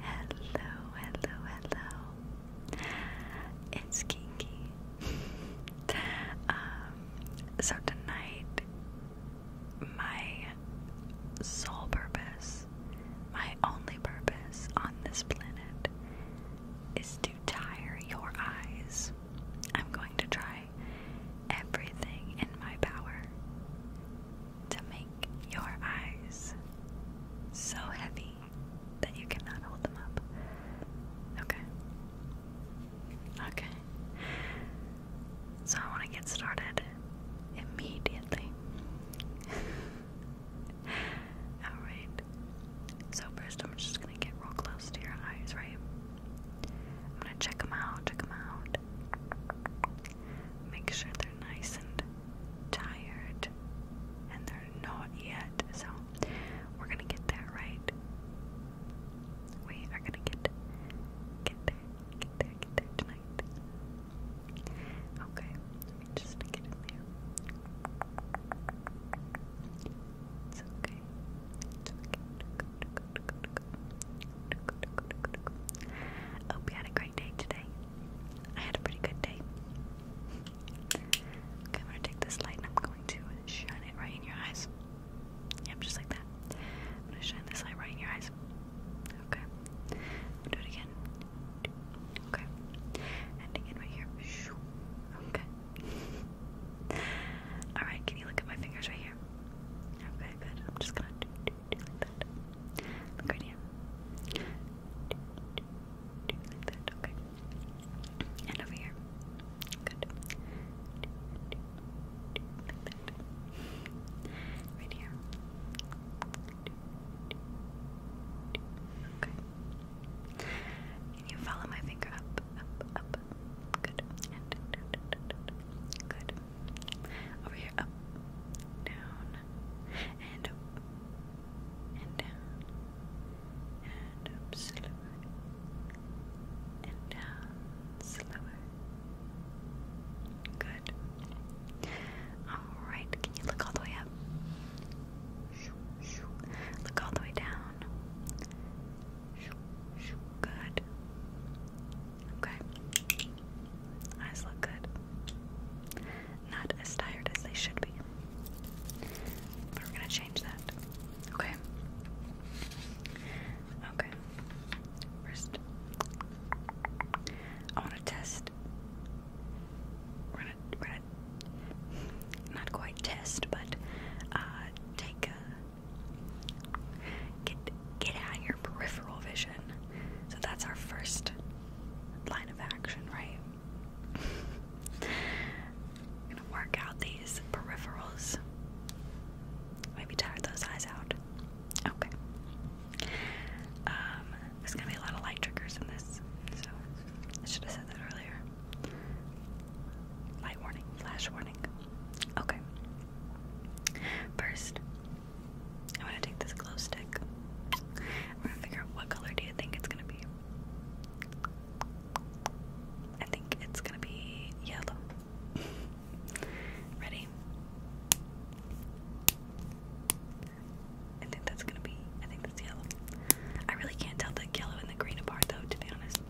Hello, hello, hello. It's Kinky. um, so tonight, my sole purpose, my only purpose on this planet is to tire your eyes. I'm going to try everything in my power to make your eyes so heavy that you cannot hold them up. Okay. Okay. So I want to get started immediately. Alright. So, first, I'm just gonna get real close to your eyes, right? I'm gonna check them out, check them out. Make sure they're nice and tired and they're not yet. So we're gonna get that right. We are gonna get get there, get there, get there tonight. Okay, just get in there. It's okay. It's okay. Hope you had a great day today. I had a pretty good day. Okay, I'm gonna take this light and I'm going to shine it right in your eyes. Yep, just like that. I'm gonna shine this light right in your eyes. Okay. do it again. Okay. And again right here. Okay. Alright, can you look at my fingers right here? Okay, good. I'm just gonna do like that. Look like that. Okay. And over here. Good. like that. Right here. Okay. Can you follow my finger up, up, up? Good. good. Over here, up, down, and up, and down, and up slower, and down slower. Good. Alright, can you look all the way up? Look all the way down. Good. Okay. Eyes look good. Not as tired as they should be. But we're gonna change that. Okay. Okay. First, I wanna test. We're gonna, we're gonna not quite test, but uh, take a get get out your peripheral vision so that's our first line of action, right? gonna work out these peripherals. Maybe tire those eyes out. Okay. Um, there's gonna be a lot of light triggers in this, so I should have said that earlier. Light warning, flash warning. Okay. First, I'm gonna take this glow stick. I'm gonna figure out what color do you think it's gonna be. I think it's gonna be yellow. Ready? I think that's gonna be. I think that's yellow. I really can't tell the yellow and the green apart, though, to be honest.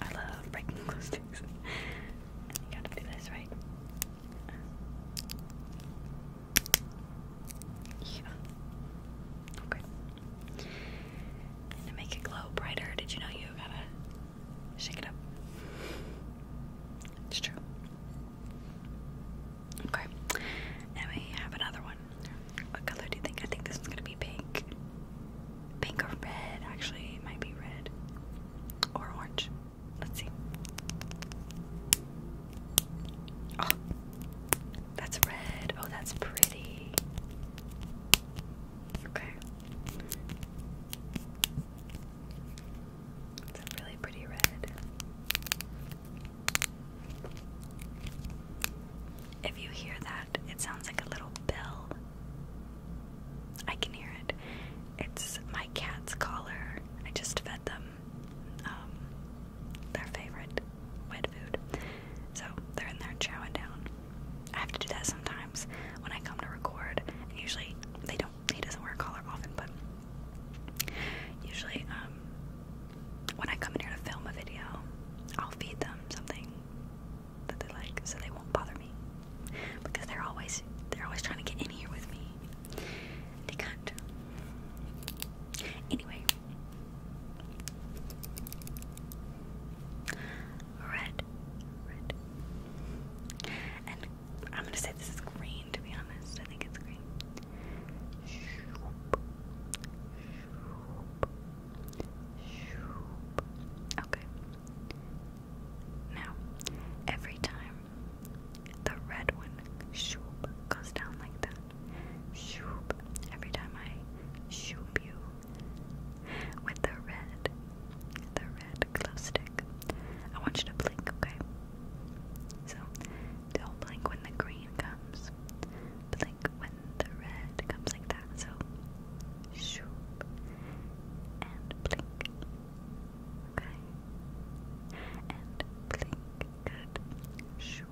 I love breaking those things. you gotta do this, right? Yeah. Okay. to make it glow brighter, did you know you gotta shake it up? It's true. Okay. And we have another one. What color do you think? I think this one's gonna be pink. Pink or red, actually. It might be red. Or orange. Let's see. Oh, that's red. Oh, that's pretty. Okay. It's a really pretty red. If you hear that, it sounds like a little bell. I can hear it. It's my cat's collar. I just fed them um, their favorite wet food. So they're in there chowing down. I have to do that sometimes when I come to record. usually they don't he doesn't wear a collar often, but usually um, when I come in here to film a video, I'll feed them something that they like, so they won't bother me because they're always they're always trying to get in here with me. They can't. Anyway, red, red, and I'm gonna say this is green to be honest. I think it's green. Okay. Now, every time the red one shoop goes down like that, shoop. Every time I shoop you with the red, the red glow stick, I want you to blink, okay? So, don't blink when the green comes. Blink when the red comes like that. So shoop and blink. Okay. And blink. Good. Shoop.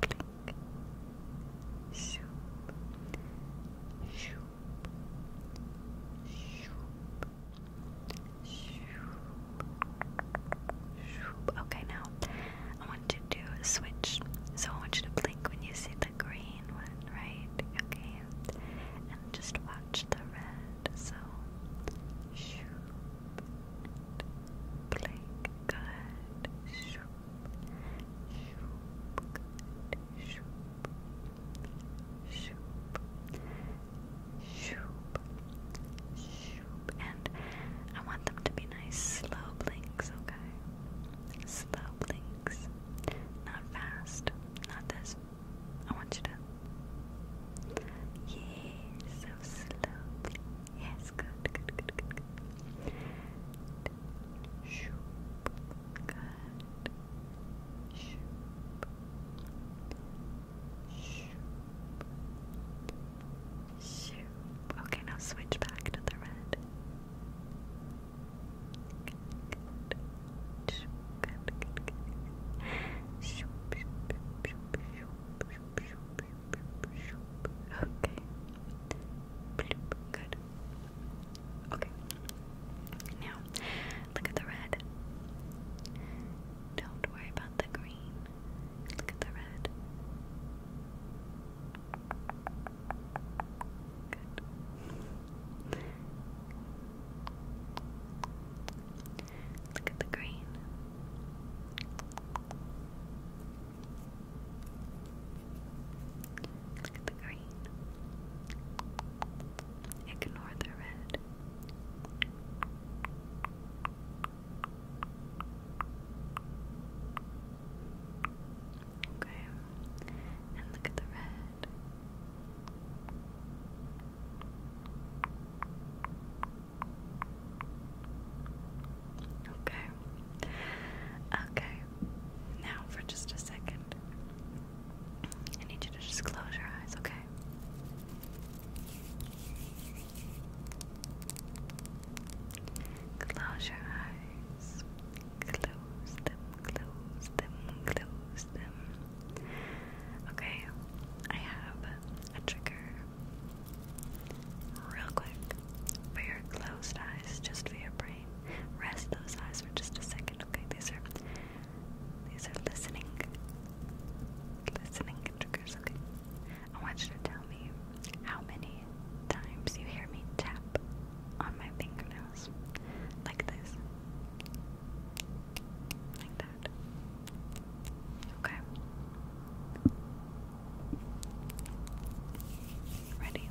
Blink. Shoop. Shoop. Shoop. Okay, now I want to do a switch. So I want you to blink when you see the green one, right? Okay, and just watch the red. So, shoop, blink, good, shoop, shoop, shoop, shoop, shoop, shoop, and I want them to be nice slow blinks, okay? Slow blinks, not fast, not this. I want you to, yeah, so slow. Yes, good, good, good, good, good. Shoop, good. Shoop. Okay, now switch back to the red. Okay. Good. Okay. Now, look at the red. Don't worry about the green. Look at the red. Good. Look at the green. Look at the green. Ignore the red. Okay, and look at the red. Okay, okay, now for just a second, I need you to just close your eyes, okay? Close your eyes. Close them, close them, close them. Okay, I have a trigger real quick for your closed eyes, just for your brain. Rest those eyes for just a second, okay? These are these are listening, listening triggers. Okay, I want you to tell me how many times you hear me tap on my fingernails, like this, like that. Okay. Ready.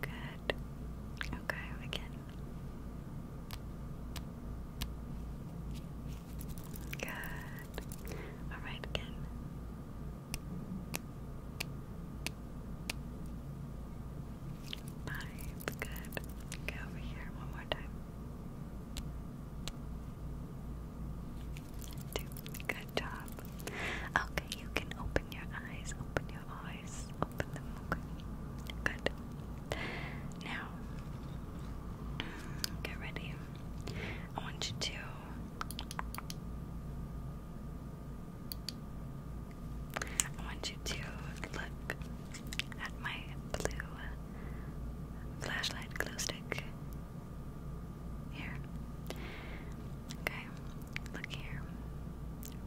Good. Okay, we Good. Alright, again. Five. Good. Go over here one more time. Two. Good. Okay, you can open your eyes. Open your eyes. Open them. Okay. Good. Now, mm, get ready. I want you to. I want you to look at my blue flashlight glue stick. Here. Okay, look here.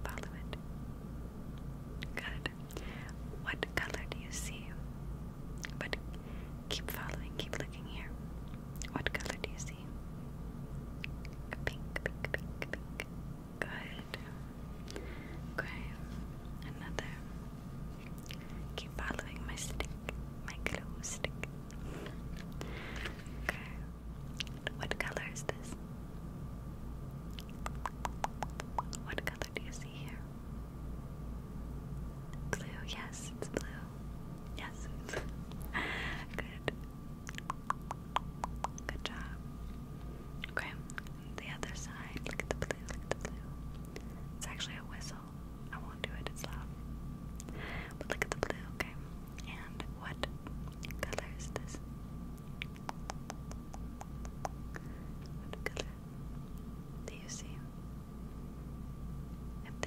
Follow it. Good. What color do you see? But keep following, keep looking here. What color do you see? Pink, pink, pink, pink. Good. Okay, another. Keep following my stick, my glue stick. Okay, what color is this? What color do you see here? Blue, yes, it's blue. Yes, Good. Good job. Okay, the other side. Look at the blue, look at the blue. It's actually a whistle. I won't do it, it's loud. But look at the blue, okay? And what color this? What color do you see?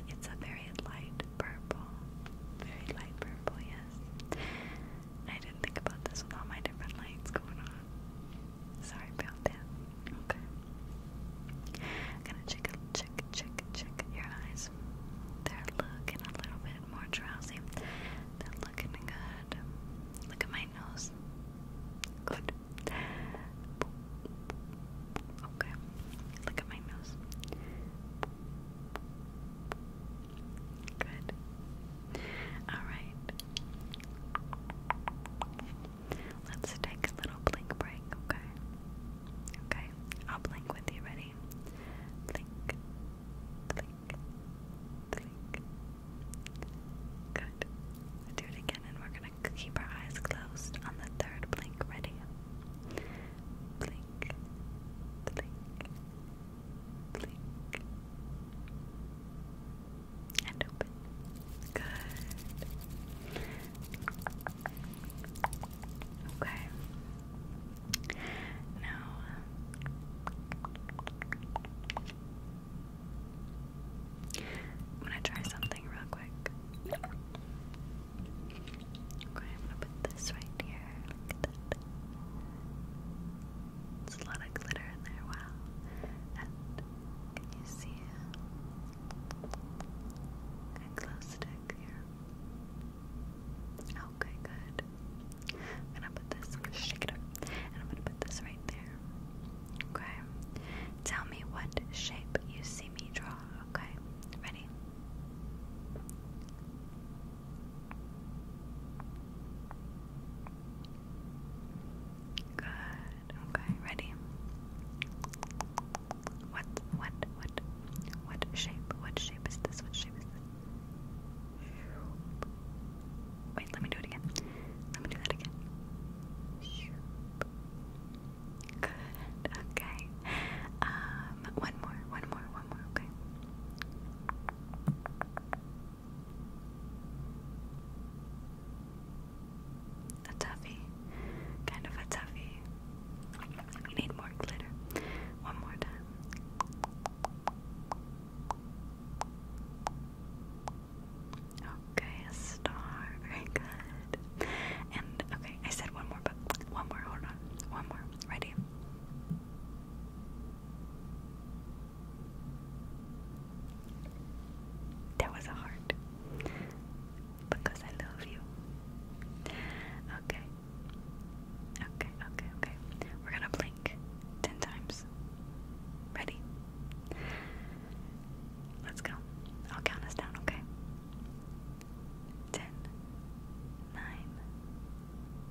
it's a very light purple. Very light purple, yes. I didn't think about this with all my different lights going on. Sorry about that. Okay. gonna check, check, check, check your eyes they're looking a little bit more drowsy. They're looking good. Look at my nose. Good. Okay. Look at my nose. Good. Alright. Let's take a little blink break, okay? Okay. I'll blink with you. Ready? okay. Blink, blink, blink. Good. do it again, and we're gonna keep our eyes closed on the third blink. Ready? Blink, blink, blink. And open. Good. Okay. Now I'm gonna try something real quick. Okay, I'm gonna put this right here. Look at that. There's a lot of glitter in there, wow. And can you see it? glow stick here. Okay, good. I'm gonna put this, shake it up, and I'm gonna put this right there. Okay? Tell me what shape you see me draw, okay? Ready? Good. Okay, ready? What, what, what, what shape, what shape is this, what shape is this? Wait, let me do it again. Let me do that again. Good, okay. Um, one more, one more, one more, okay. A toughie, kind of a toughie need more glitter. One more time. Okay, a star. Very good. And okay, I said one more, but one more. Hold on. One more. Ready? That was a heart. Because I love you. Okay, Okay, okay, okay. We're gonna blink ten times. Ready? Let's go. I'll count us down, okay? Ten, nine,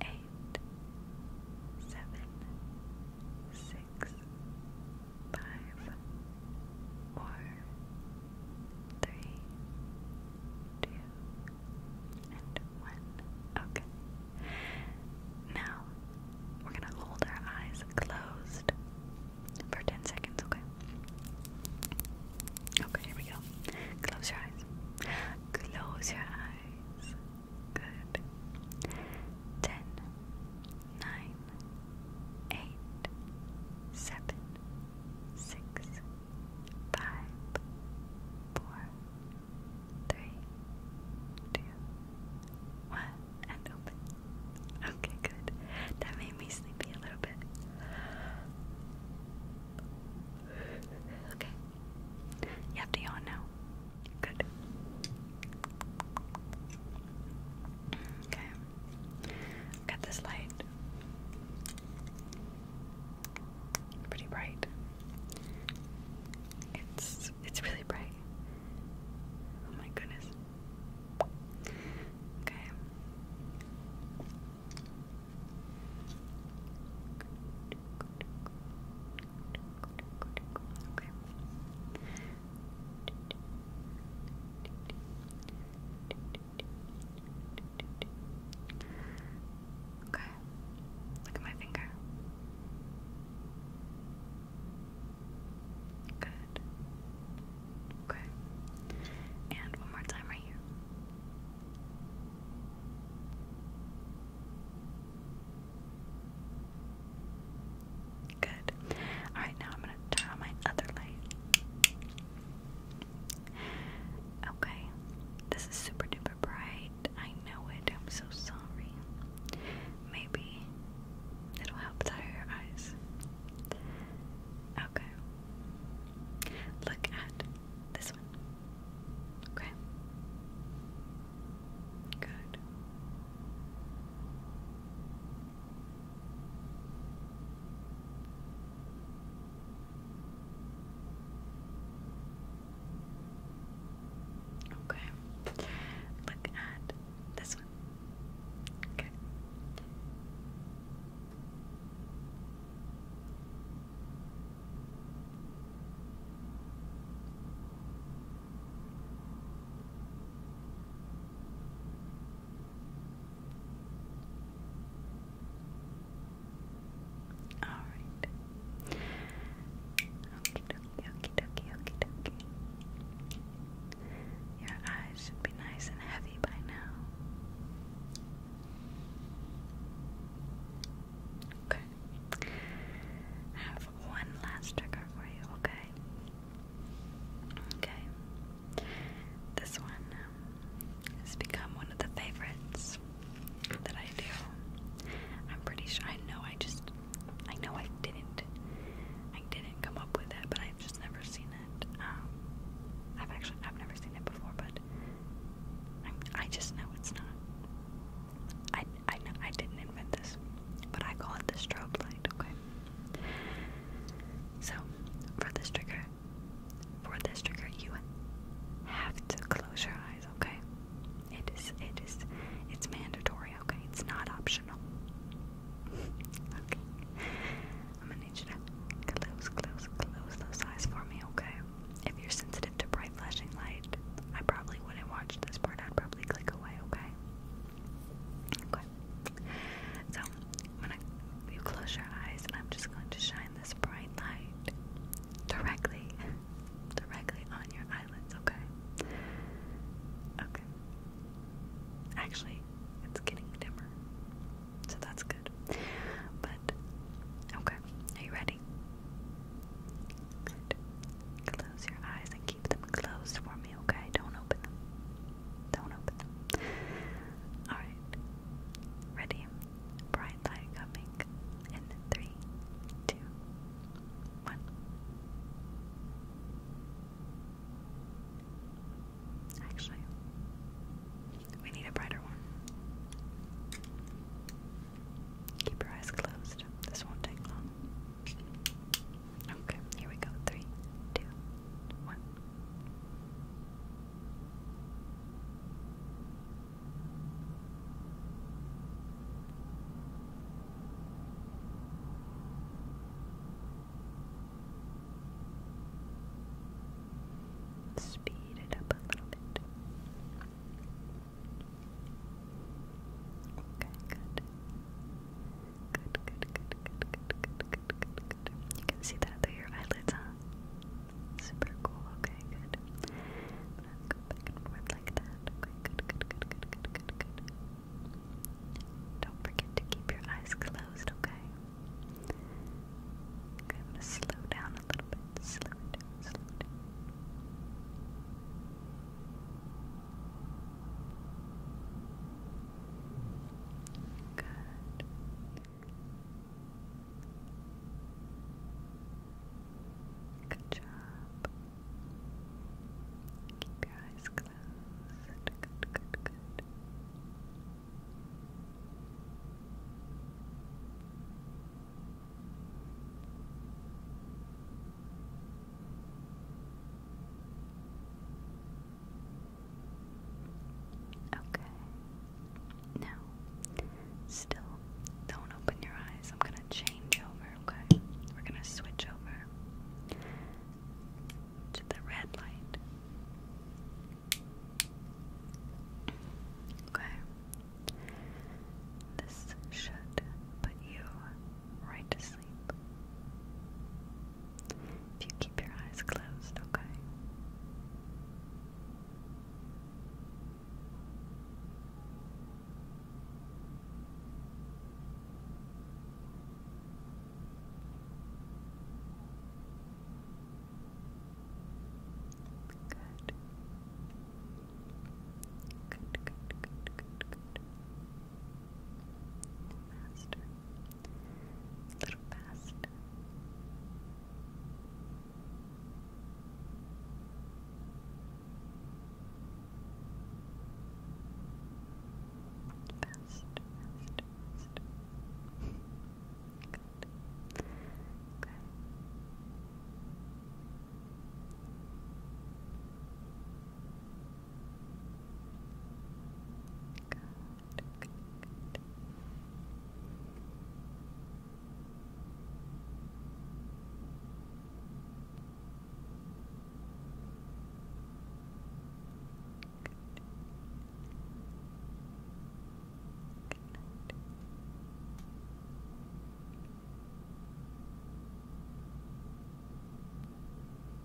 eight, seven, six, five, four, three, two, and one. Okay. Now we're gonna hold our eyes closed for 10 seconds, okay? Okay, here we go. Close your eyes. Close your eyes. Good. 10, five, four, three, two, one, and open. Okay, good. That made me sleepy a little bit. Okay. You have to yawn now. Good. Okay. Got this light. Pretty bright. It's it's really bright. Oh my goodness. Okay. Okay. Okay, look at my finger. Good. Okay. And one more time right here. Good. Alright, now I'm going to turn my other light. Okay, this is super duper bright. I know it. I'm so sorry. Maybe it'll help tire your eyes. Okay, look at this one. Okay, good. Okay. Look at this one. Okay. Alright. Okie dokie, okie dokie, okie dokie. Your eyes should be nice and heavy by now. Okay. have one last trigger for you, okay? Okay. This one um, has become one of the favorites that I do. I'm pretty sure I know I just I know I didn't I didn't come up with it, but I've just never seen it. Um, I've actually I've never seen it before, but i just know it's not. I I I didn't invent this, but I call it the strobe light. Okay. So for this trigger, for this trigger, you have to close your eyes, okay? It is, it is, it's mandatory, okay? It's not optional. okay. I'm gonna need you to close, close, close those eyes for me, okay? If you're sensitive to bright flashing light, I probably wouldn't watch this part. I'd probably click away, okay? Okay. So I'm you close your eyes I'm just going to shine this bright light directly directly on your eyelids, okay? Okay. Actually, it's getting dimmer. So that's good. But okay, are you ready? Close your eyes and keep them closed for me, okay? Don't open them. Don't open them. Alright. Ready? Bright light coming in three, two, one. Actually, we need a brighter one. Keep your eyes closed. This won't take long. Okay, here we go. Three, two, one. Speed it up a little bit. Okay, good. Good, good, good, good, good, good, good, good, good. You can see that through your eyelids, huh? Super cool. Okay, good. go back and forth like that. good, good, good, good, good, good, good. Don't forget to keep your eyes closed, okay? Okay, I'm gonna slow down a little bit. Slow it slow Good. Good job. Keep your eyes closed. Good, good, good. Okay. Now, still don't open your eyes. I'm gonna change over, okay? We're gonna switch over to the red light. Okay. This should put you right to sleep. If you keep your eyes closed, okay? Good. Good, good, good, good, Master. A little fast. Fast, Good. Okay. Good good, good, good. Good night.